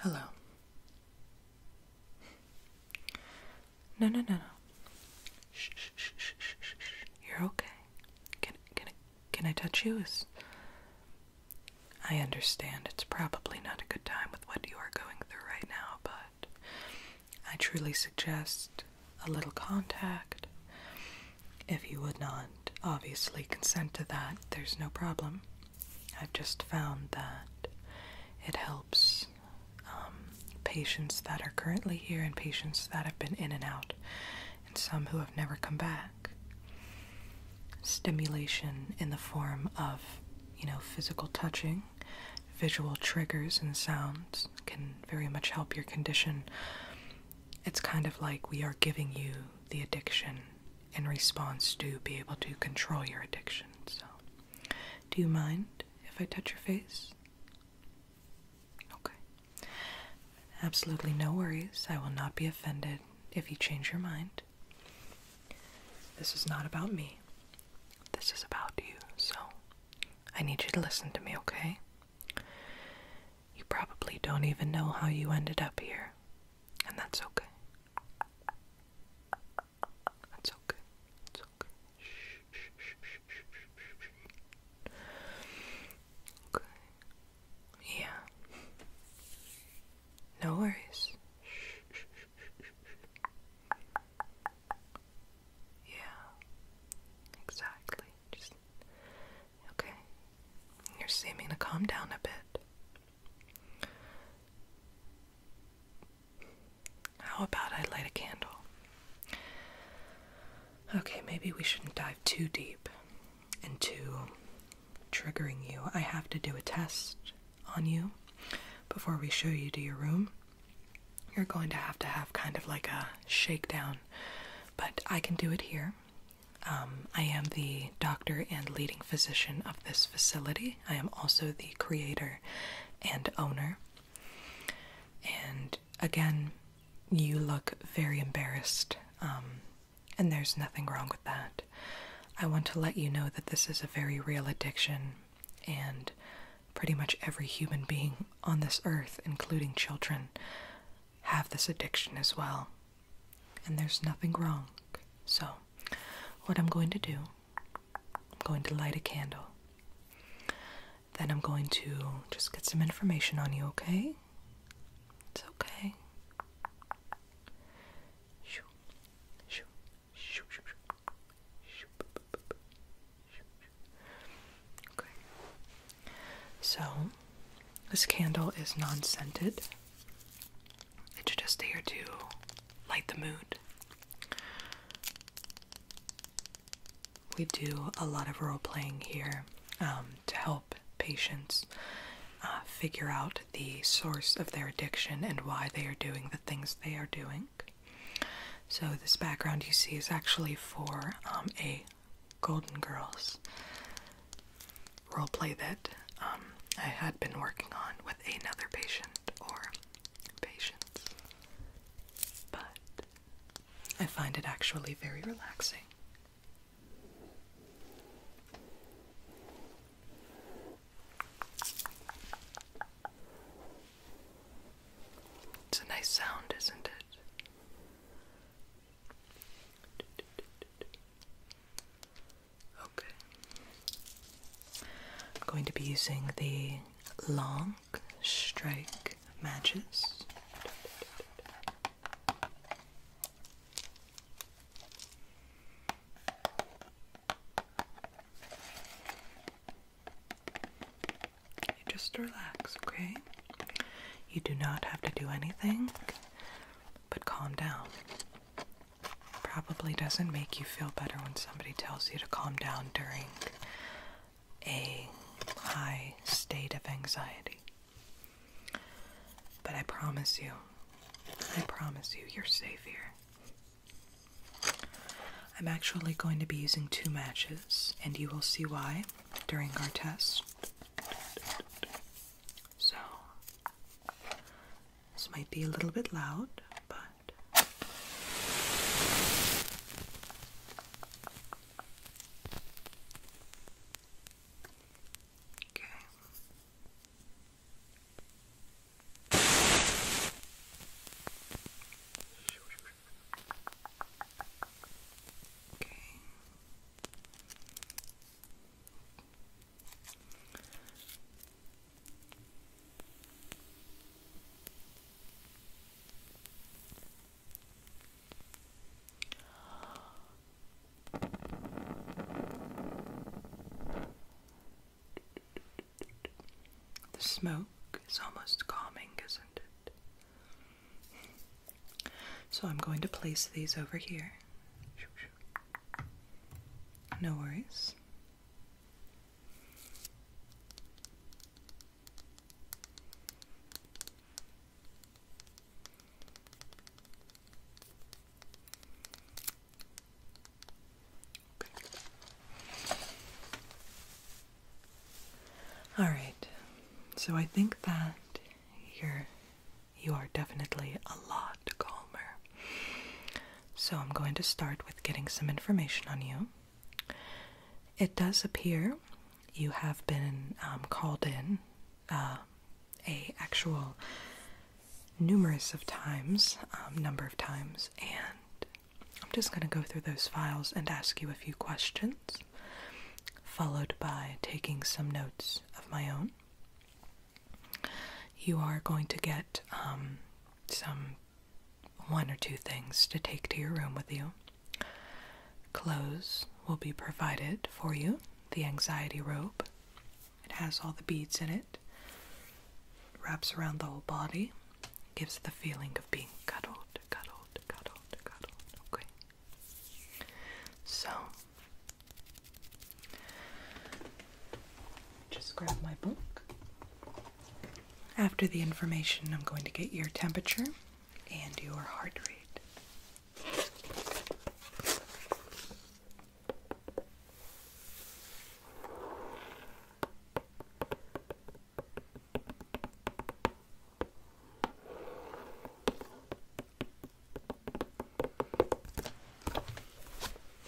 Hello. No, no, no, no. Shh, shh, shh, shh, shh, You're okay. Can, can, can I touch you? I understand it's probably not a good time with what you are going through right now, but I truly suggest a little contact. If you would not obviously consent to that, there's no problem. I've just found that it helps um, patients that are currently here and patients that have been in and out, and some who have never come back. Stimulation in the form of, you know, physical touching, visual triggers, and sounds can very much help your condition. It's kind of like we are giving you the addiction in response to be able to control your addiction. So, do you mind if I touch your face? Okay. Absolutely no worries. I will not be offended if you change your mind. This is not about me. This is about you. So, I need you to listen to me, okay? You probably don't even know how you ended up here. And that's okay. That's okay. It's okay. Okay. Yeah. No worries. Yeah. Exactly. Just okay. You're seeming to calm down a bit. How about I light a candle? Okay, maybe we shouldn't dive too deep into triggering you. I have to do a test on you before we show you to your room. You're going to have to have kind of like a shakedown, but I can do it here. Um, I am the doctor and leading physician of this facility. I am also the creator and owner. And again, you look very embarrassed, um, and there's nothing wrong with that. I want to let you know that this is a very real addiction, and pretty much every human being on this earth, including children, have this addiction as well and there's nothing wrong. So, what I'm going to do, I'm going to light a candle. Then I'm going to just get some information on you, okay? It's okay. Okay. So, this candle is non scented and just there to light the mood. We do a lot of role playing here um, to help patients uh, figure out the source of their addiction and why they are doing the things they are doing. So, this background you see is actually for um, a Golden Girls roleplay that um, I had been working on with another patient or patients. But I find it actually very relaxing. It's a nice sound, isn't it? Okay. I'm going to be using the long strike matches. just relax, okay? You do not have to do anything but calm down probably doesn't make you feel better when somebody tells you to calm down during a high state of anxiety. But I promise you, I promise you, you're safe here. I'm actually going to be using two matches, and you will see why during our test. So, this might be a little bit loud, but okay. Okay. The smoke is almost calming, isn't it? So I'm going to place these over here. No worries. All right. So I think that your you are definitely a lot calmer. So, I'm going to start with getting some information on you. It does appear you have been um, called in uh, a actual numerous of times, um, number of times, and I'm just going to go through those files and ask you a few questions, followed by taking some notes of my own you are going to get um, some one or two things to take to your room with you. Clothes will be provided for you, the anxiety robe. It has all the beads in it, wraps around the whole body, gives the feeling of being cuddled, cuddled, cuddled, cuddled. Okay. So just grab my book. After the information, I'm going to get your temperature and your heart rate.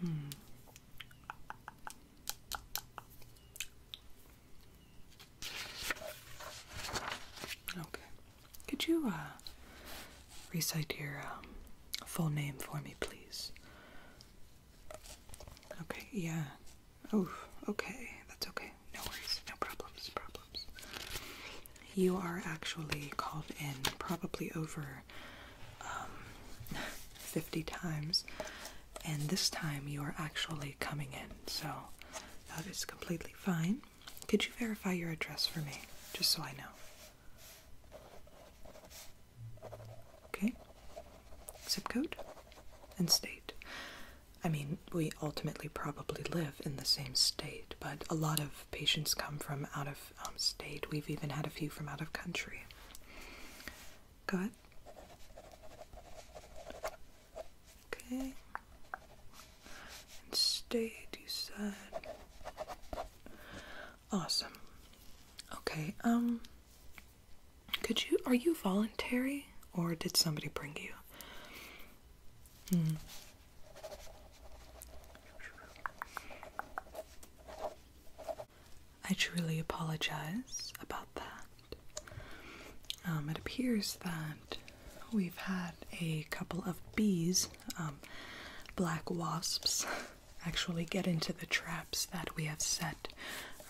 Hmm. Okay. Could you uh, recite your um, full name for me, please? Okay, yeah. Oh, okay. That's okay. No worries. No problems. Problems. You are actually called in probably over um, 50 times, and this time you are actually coming in, so that is completely fine. Could you verify your address for me, just so I know? Okay, zip code and state. I mean, we ultimately probably live in the same state, but a lot of patients come from out of of um, state. We've even had a few from out of country. Go ahead. Okay. And state, you said. Awesome. Okay, um, could you, are you voluntary or did somebody bring you? Hmm. I truly apologize about that. Um, it appears that we've had a couple of bees, um, black wasps, actually get into the traps that we have set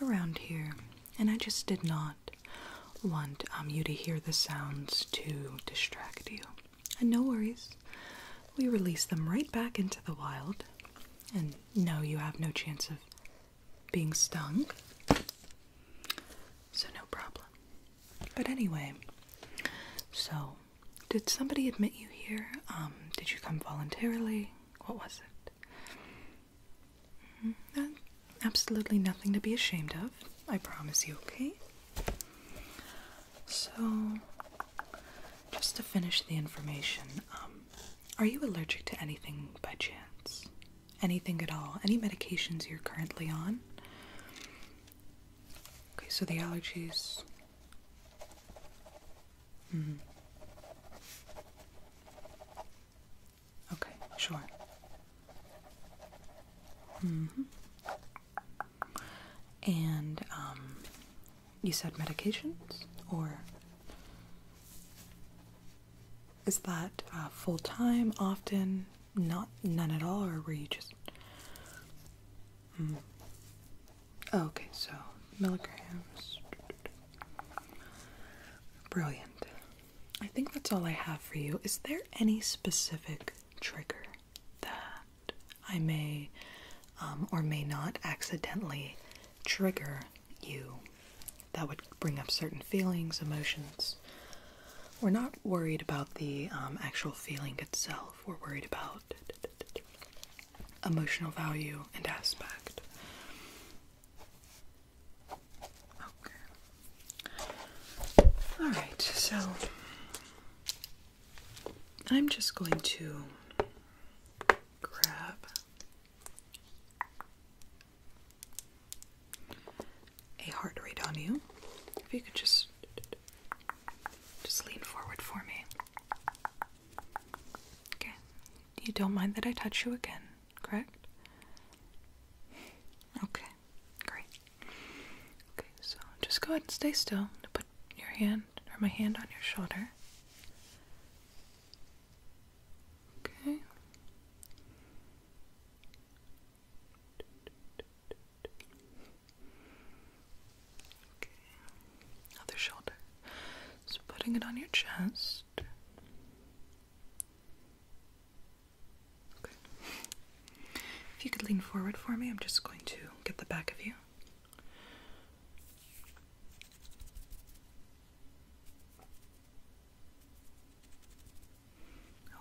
around here, and I just did not want um, you to hear the sounds to distract you. And no worries, we release them right back into the wild. And no, you have no chance of being stung. So, no problem. But anyway, so did somebody admit you here? Um, did you come voluntarily? What was it? Mm-hmm. Uh, absolutely nothing to be ashamed of, I promise you, okay? So, just to finish the information, um, are you allergic to anything by chance? Anything at all? Any medications you're currently on? Okay, so the allergies. Mm-hmm. Okay, sure. Mm-hmm. And um, you said medications, or is that uh, full time? Often, not none at all, or were you just? Hmm. Oh, okay, so milligrams. Brilliant. I think that's all I have for you. Is there any specific trigger that I may um, or may not accidentally trigger you. That would bring up certain feelings, emotions. We're not worried about the um, actual feeling itself, we're worried about emotional value and aspect. Okay. Alright, so I'm just going to grab a heart rate on you. If you could just just lean forward for me. Okay. You don't mind that I touch you again, correct? Okay. Great. Okay, so just go ahead and stay still. i put your hand or my hand on your shoulder. Okay. Okay. Other shoulder. So putting it on your chest. Okay. If you could lean forward for me, I'm just going to get the back of you.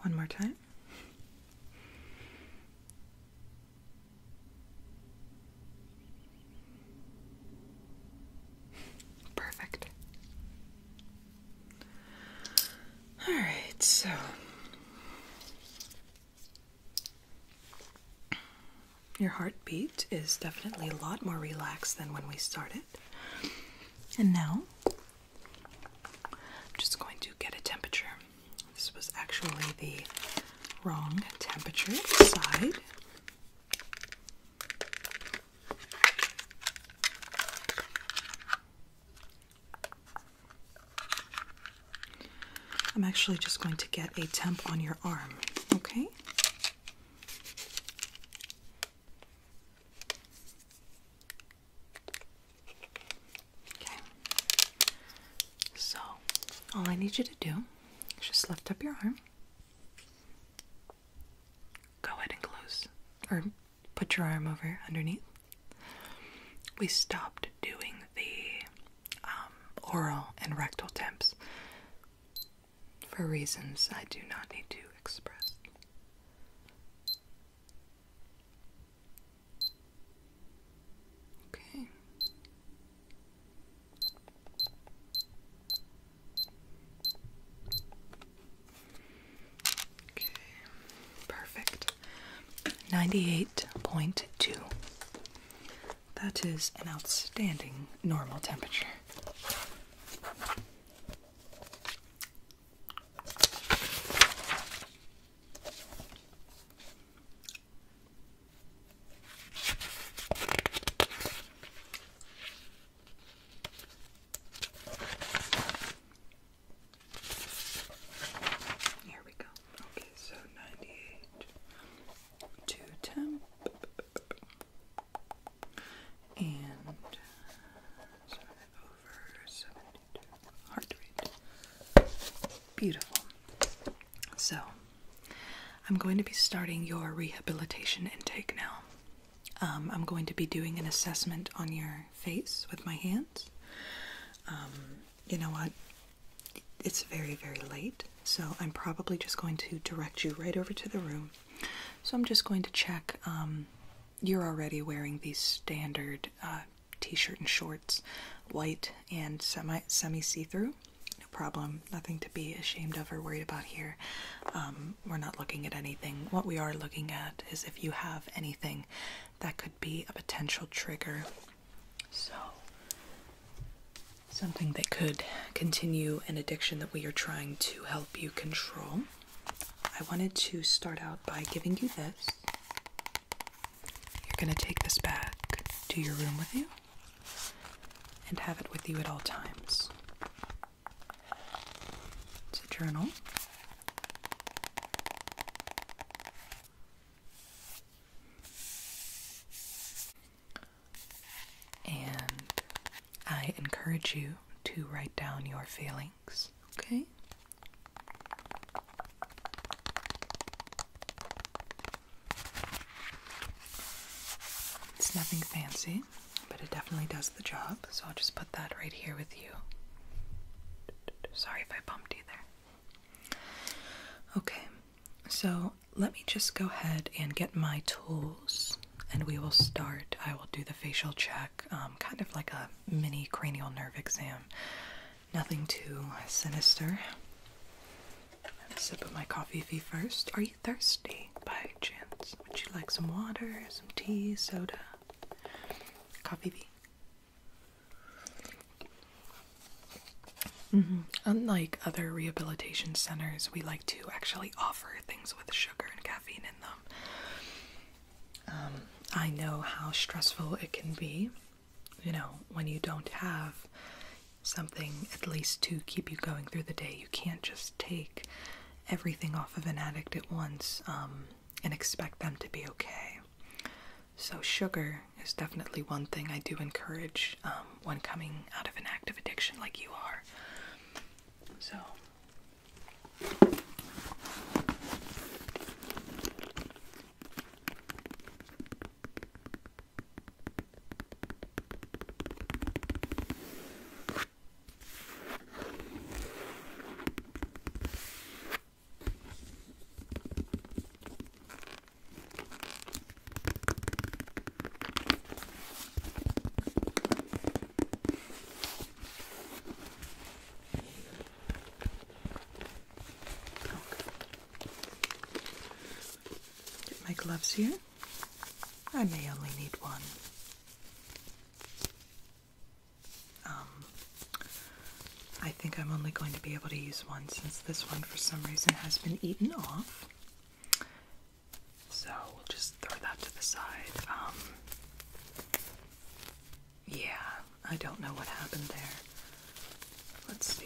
One more time. Perfect. All right, so your heartbeat is definitely a lot more relaxed than when we started. And now, I'm just going to get a temperature. This was actually the wrong temperature side. I'm actually just going to get a temp on your arm, okay? Okay. So, all I need you to do is just lift up your arm. Go ahead and close or put your arm over underneath. We stopped doing the um, oral and rectal temps for reasons I do not need to express. Okay. Okay. Perfect. Ninety-eight point two. That is an outstanding normal temperature. Here we go. Okay, so ninety eight to and 72. Hard to Beautiful. So, I'm going to be starting your rehabilitation intake now. Um, I'm going to be doing an assessment on your face with my hands. Um, you know what? it's very, very late, so I'm probably just going to direct you right over to the room. So I'm just going to check. Um, you're already wearing these standard uh, t-shirt and shorts, white and semi semi see-through. No problem. Nothing to be ashamed of or worried about here. Um, we're not looking at anything. What we are looking at is if you have anything that could be a potential trigger so, something that could continue an addiction that we are trying to help you control. I wanted to start out by giving you this. You're going to take this back to your room with you and have it with you at all times. It's a journal. And I encourage you to write down your feelings, okay? It's nothing fancy, but it definitely does the job, so I'll just put that right here with you. Sorry if I bumped you there. Okay, so let me just go ahead and get my tools and we will start. I will do the facial check, um, kind of like a mini cranial nerve exam. Nothing too sinister. a sip of my coffee fee first. Are you thirsty by chance? Would you like some water, some tea, soda? Coffee fee? Mm-hmm. Unlike other rehabilitation centers, we like to actually offer things with sugar and caffeine in them. Um, I know how stressful it can be, you know, when you don't have something at least to keep you going through the day. You can't just take everything off of an addict at once um, and expect them to be okay. So, sugar care is definitely one thing I do encourage um, when coming out of an active addiction like you are. So. Get my gloves here. I may only need one. Um, I think I'm only going to be able to use one since this one, for some reason, has been eaten off. So we'll just throw that to the side. Um, yeah, I don't know what happened there. Let's see.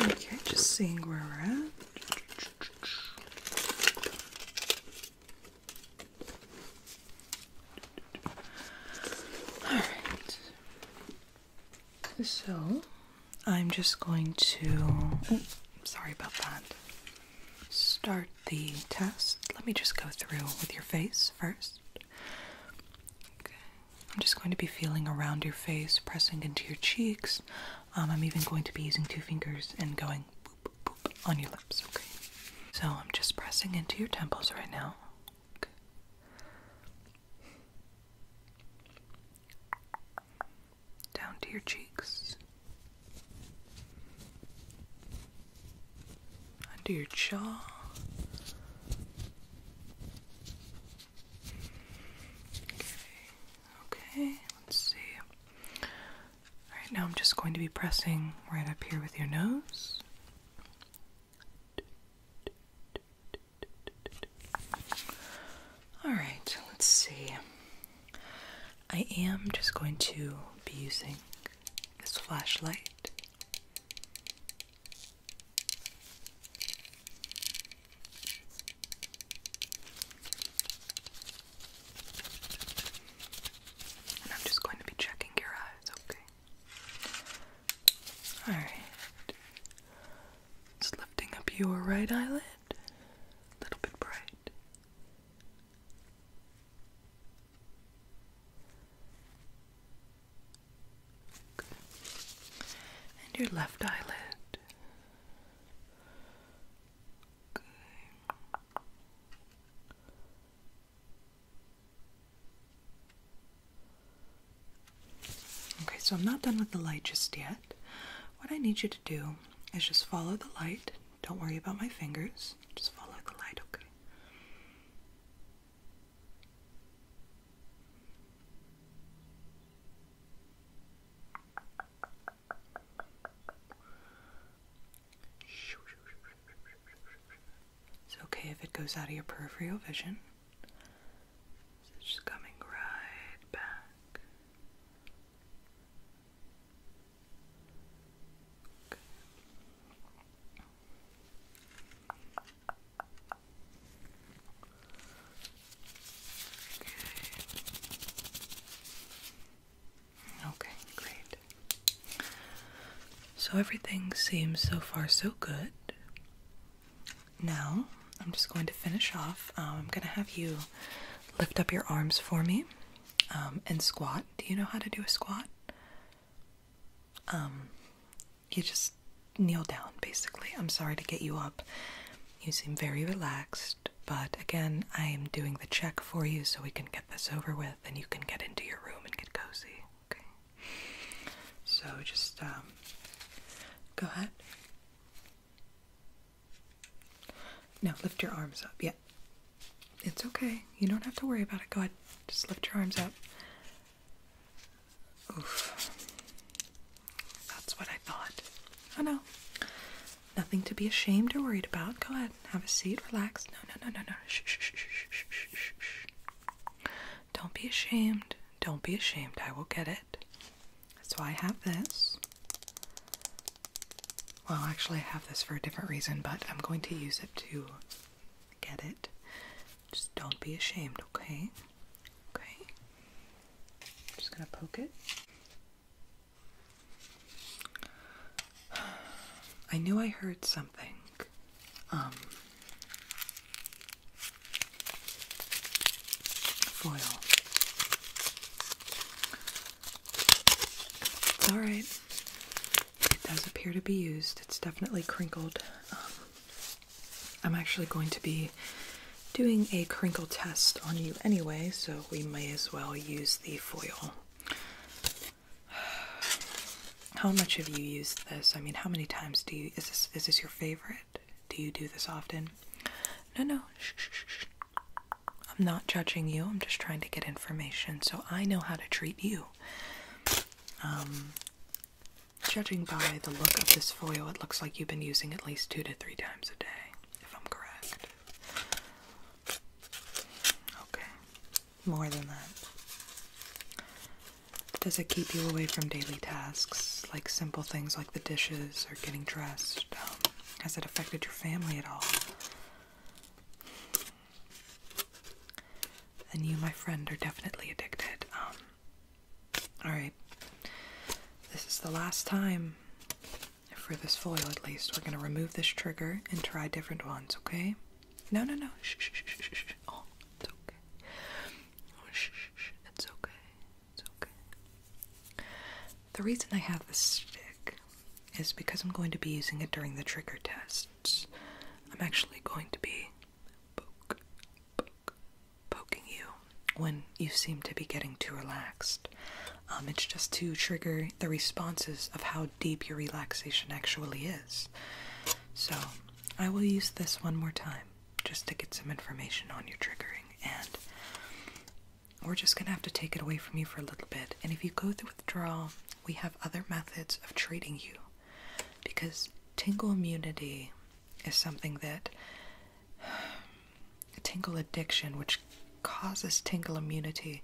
Okay, just seeing where we're at. All right. So, I'm just going to. sorry about that. Start the test, let me just go through with your face first. Okay. I'm just going to be feeling around your face, pressing into your cheeks. Um, I'm even going to be using two fingers and going boop, boop, on your lips, okay? So I'm just pressing into your temples right now. Down to your cheeks under your jaw. Okay, okay, let's see. Alright, now I'm just going to be pressing right up here with your nose. Alright, let's see. I am just going to be using this flashlight. And I'm just going to be checking your eyes, okay? Alright. Just lifting up your right eyelid. A little bit bright. And your left eyelid. Okay, so I'm not done with the light just yet. What I need you to do is just follow the light. Don't worry about my fingers. Just follow the light, okay? It's okay if it goes out of your peripheral vision. it's just coming right back. Okay. great. So everything seems so far so good. Now, I'm just going to finish off. Um, I'm going to have you lift up your arms for me. Um, and squat. Do you know how to do a squat? Um, you just kneel down, basically. I'm sorry to get you up. You seem very relaxed, but again, I am doing the check for you so we can get this over with and you can get into your room and get cozy. Okay. So just um, go ahead. Now lift your arms up. Yeah, it's okay. You don't have to worry about it. Go ahead. Just lift your arms up. Oof. That's what I thought. Oh no. Nothing to be ashamed or worried about. Go ahead. Have a seat. Relax. No, no, no, no, no. shh, shh, shh, shh, shh, shh. Don't be ashamed. Don't be ashamed. I will get it. That's why I have this. Well, actually, I have this for a different reason, but I'm going to use it to get it. Just don't be ashamed, okay? Okay. I'm just gonna poke it. I knew I heard something. Um, foil. It's alright. It does appear to be used. It's definitely crinkled. Um, I'm actually going to be doing a crinkle test on you anyway, so we may as well use the foil. How much have you used this? I mean, how many times do you? Is this is this your favorite? Do you do this often? No, no. I'm not judging you, I'm just trying to get information so I know how to treat you. Um, judging by the look of this foil, it looks like you've been using at least two to three times a day, if I'm correct. Okay, more than that. Does it keep you away from daily tasks, like simple things like the dishes or getting dressed? Um, has it affected your family at all? Then you, my friend, are definitely addicted. Um, Alright. This is the last time for this foil, at least. We're going to remove this trigger and try different ones, okay? No, no, no. Oh, it's okay. Oh, it's okay. It's okay. The reason I have this stick is because I'm going to be using it during the trigger tests. I'm actually going to be poke, poke, poking you when you seem to be getting too relaxed. Um, it's just to trigger the responses of how deep your relaxation actually is. So I will use this one more time just to get some information on your triggering and we're just gonna have to take it away from you for a little bit. And if you go through withdrawal, we have other methods of treating you because tingle immunity is something that tingle addiction, which causes tingle immunity,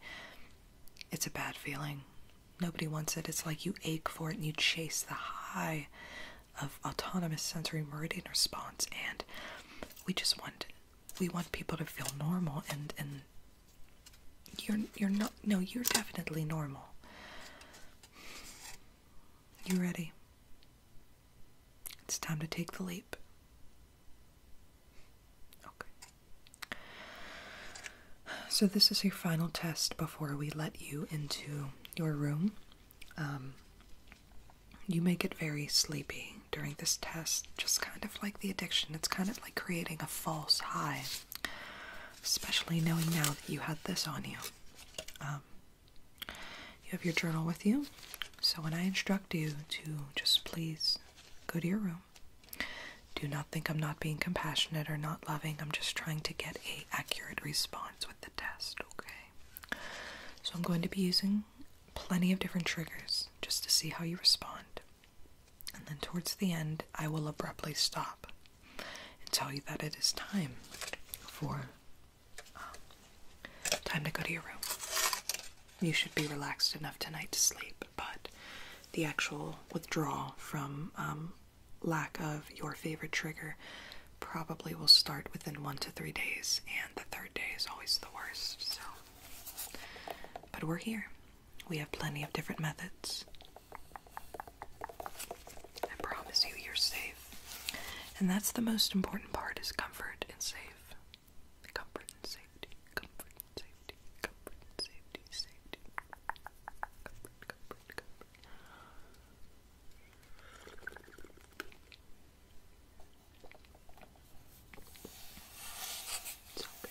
it's a bad feeling. Nobody wants it. It's like you ache for it and you chase the high of autonomous sensory meridian response and we just want we want people to feel normal and and you're you're not no, you're definitely normal. You ready? It's time to take the leap. Okay. So this is your final test before we let you into your room. Um, you may get very sleepy during this test, just kind of like the addiction. It's kind of like creating a false high, especially knowing now that you had this on you. Um, you have your journal with you, so when I instruct you to just please go to your room, do not think I'm not being compassionate or not loving. I'm just trying to get a accurate response with the test, okay? So I'm going to be using plenty of different triggers just to see how you respond and then towards the end, I will abruptly stop and tell you that it is time for um, time to go to your room. You should be relaxed enough tonight to sleep, but the actual withdrawal from um, lack of your favorite trigger probably will start within one to three days, and the third day is always the worst. So, but we're here. We have plenty of different methods. I promise you, you're safe. And that's the most important part is comfort and safe. Comfort and safety, comfort safety, comfort safety, safety. Comfort, comfort, comfort. It's okay.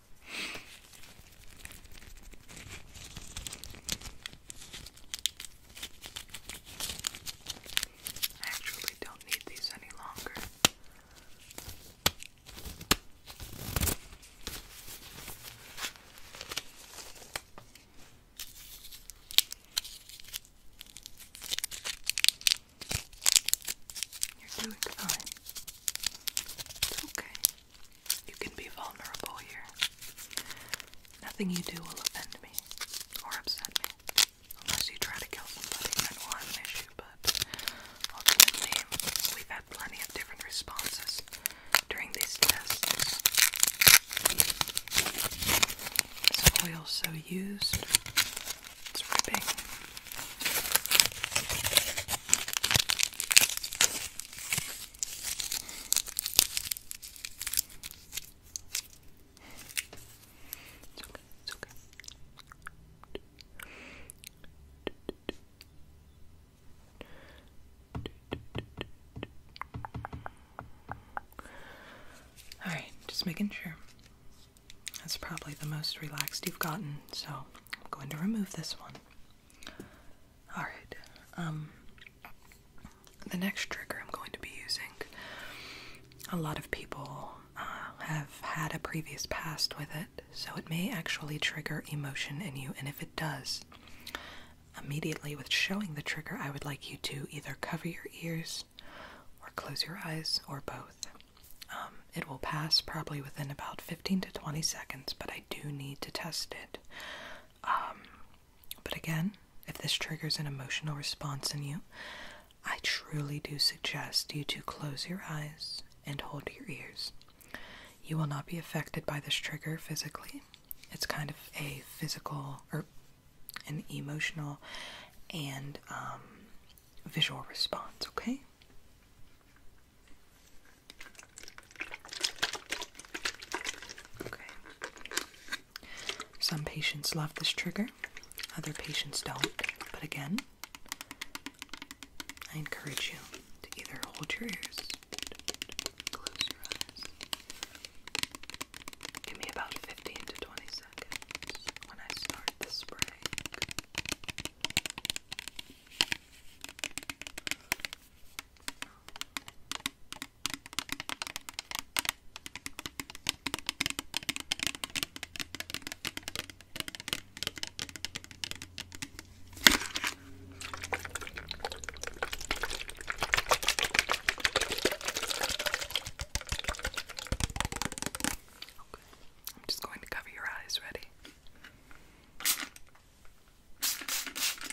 I actually don't need these any longer. You're doing fine. It's okay. You can be vulnerable here. Nothing you do will offend me or upset me. Unless you try to kill somebody, then we'll an issue, but ultimately, we've had plenty of different responses during these tests. This oil so used, it's ripping. It's okay, it's okay. Alright, just making sure. That's probably the most relaxed you've gotten, so I'm going to remove this one. Alright, um, the next trigger I'm going to be using. A lot of people uh, have had a previous past with it, so it may actually trigger emotion in you, and if it does, immediately with showing the trigger, I would like you to either cover your ears or close your eyes or both. Um, it will pass probably within about 15 to 20 seconds, but I do need to test it. Um, but again, if this triggers an emotional response in you, I truly do suggest you to close your eyes and hold your ears. You will not be affected by this trigger physically. It's kind of a physical or an emotional and um, visual response, okay? Okay. Some patients love this trigger, other patients don't. But again, I encourage you to either hold your ears, close your eyes. Give me about 15 to 20 seconds when I start this spray. I'm just going to cover your eyes, ready?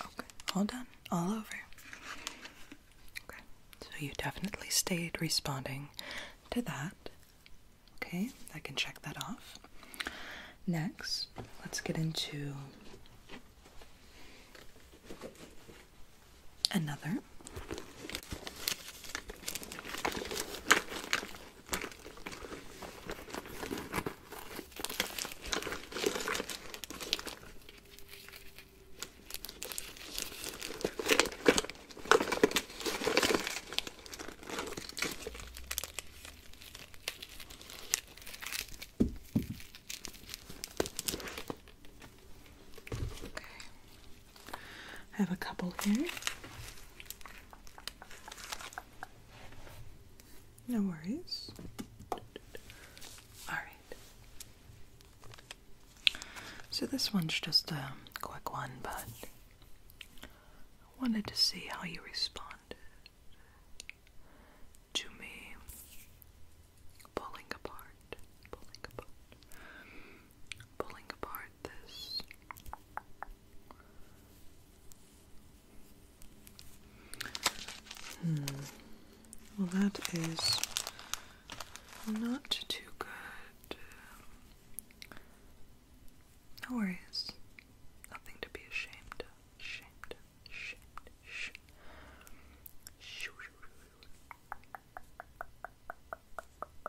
Okay, all done, all over. Okay, so you definitely stayed responding to that. Okay, I can check that off. Next, let's get into another. I have a couple here. No worries. All right. So this one's just a quick one, but wanted to see how you responded to me pulling apart, pulling apart pulling apart this. Well, that is not too good. No worries. Nothing to be ashamed of. Ashamed of. Sh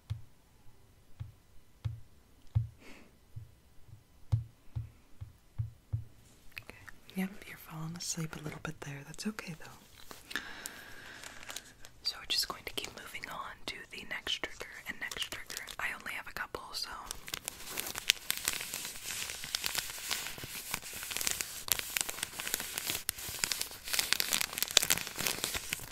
Okay. Yep, you're falling asleep a little bit there. That's okay though. So we're just going to keep moving on to the next trigger and next trigger. I only have a couple, so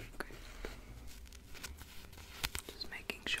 Okay. Just making sure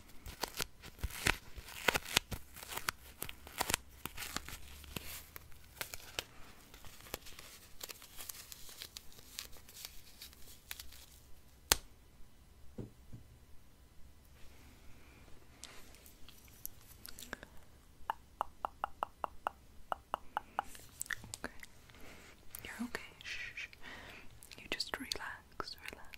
You're okay. Shh. You just relax, relax.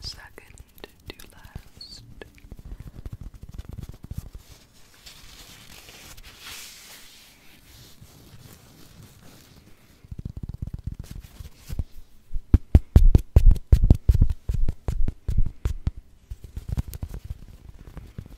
Second to last.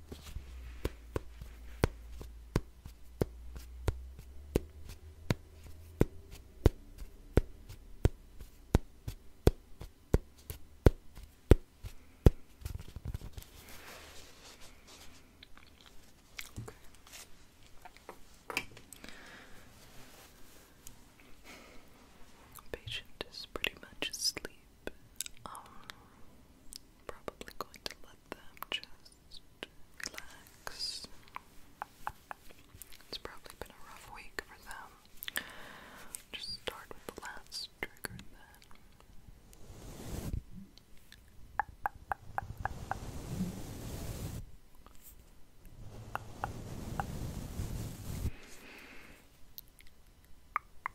Okay. Patient is pretty much asleep. I'm um, probably going to let them just relax. It's probably been a rough week for them. Just start with the last trigger then.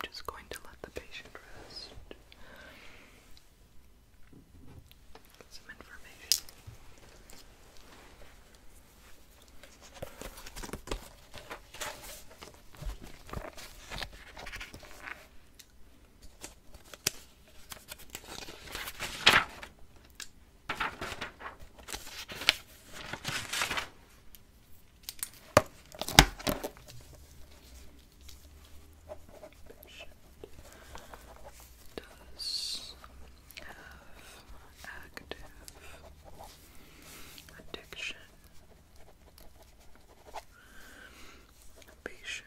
I'm just going to let the patient rest. some information does have active addiction. Patient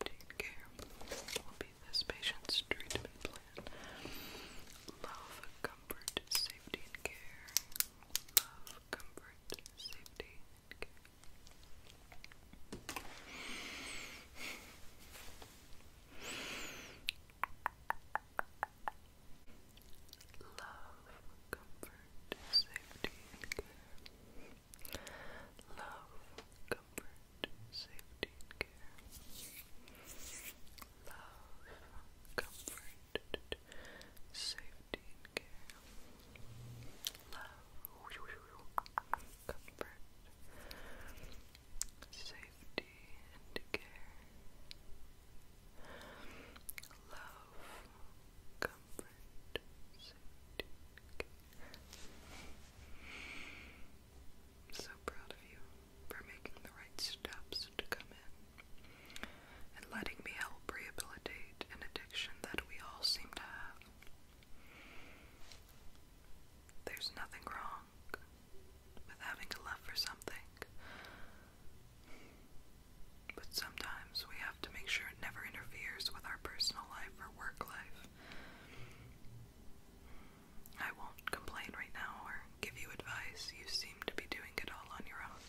taken care will be this patient's treatment plan. Love, comfort, safety, and care. Love, comfort, safety, care. Love, comfort, safety, care. Love, comfort, safety, and care. Love, comfort, safety, and care. Love, comfort, safety, and care. Love, comfort, safety, care. I'm so proud of you for making the right steps to come in and letting me help rehabilitate an addiction that we all seem to have. There's nothing wrong with having a love for something, but sometimes we have to make sure it never interferes with our personal life or work life. I won't complain right now or give you advice. You seem to be doing it all on your own.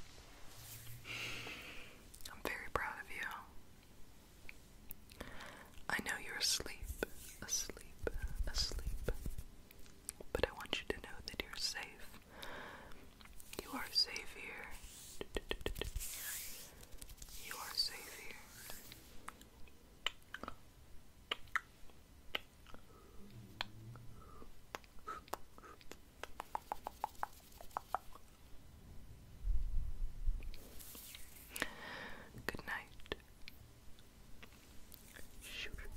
I'm very proud of you. I know you're asleep, asleep, asleep. But I want you to know that you're safe. You are safe here. You are safe here. Good night. Shoot.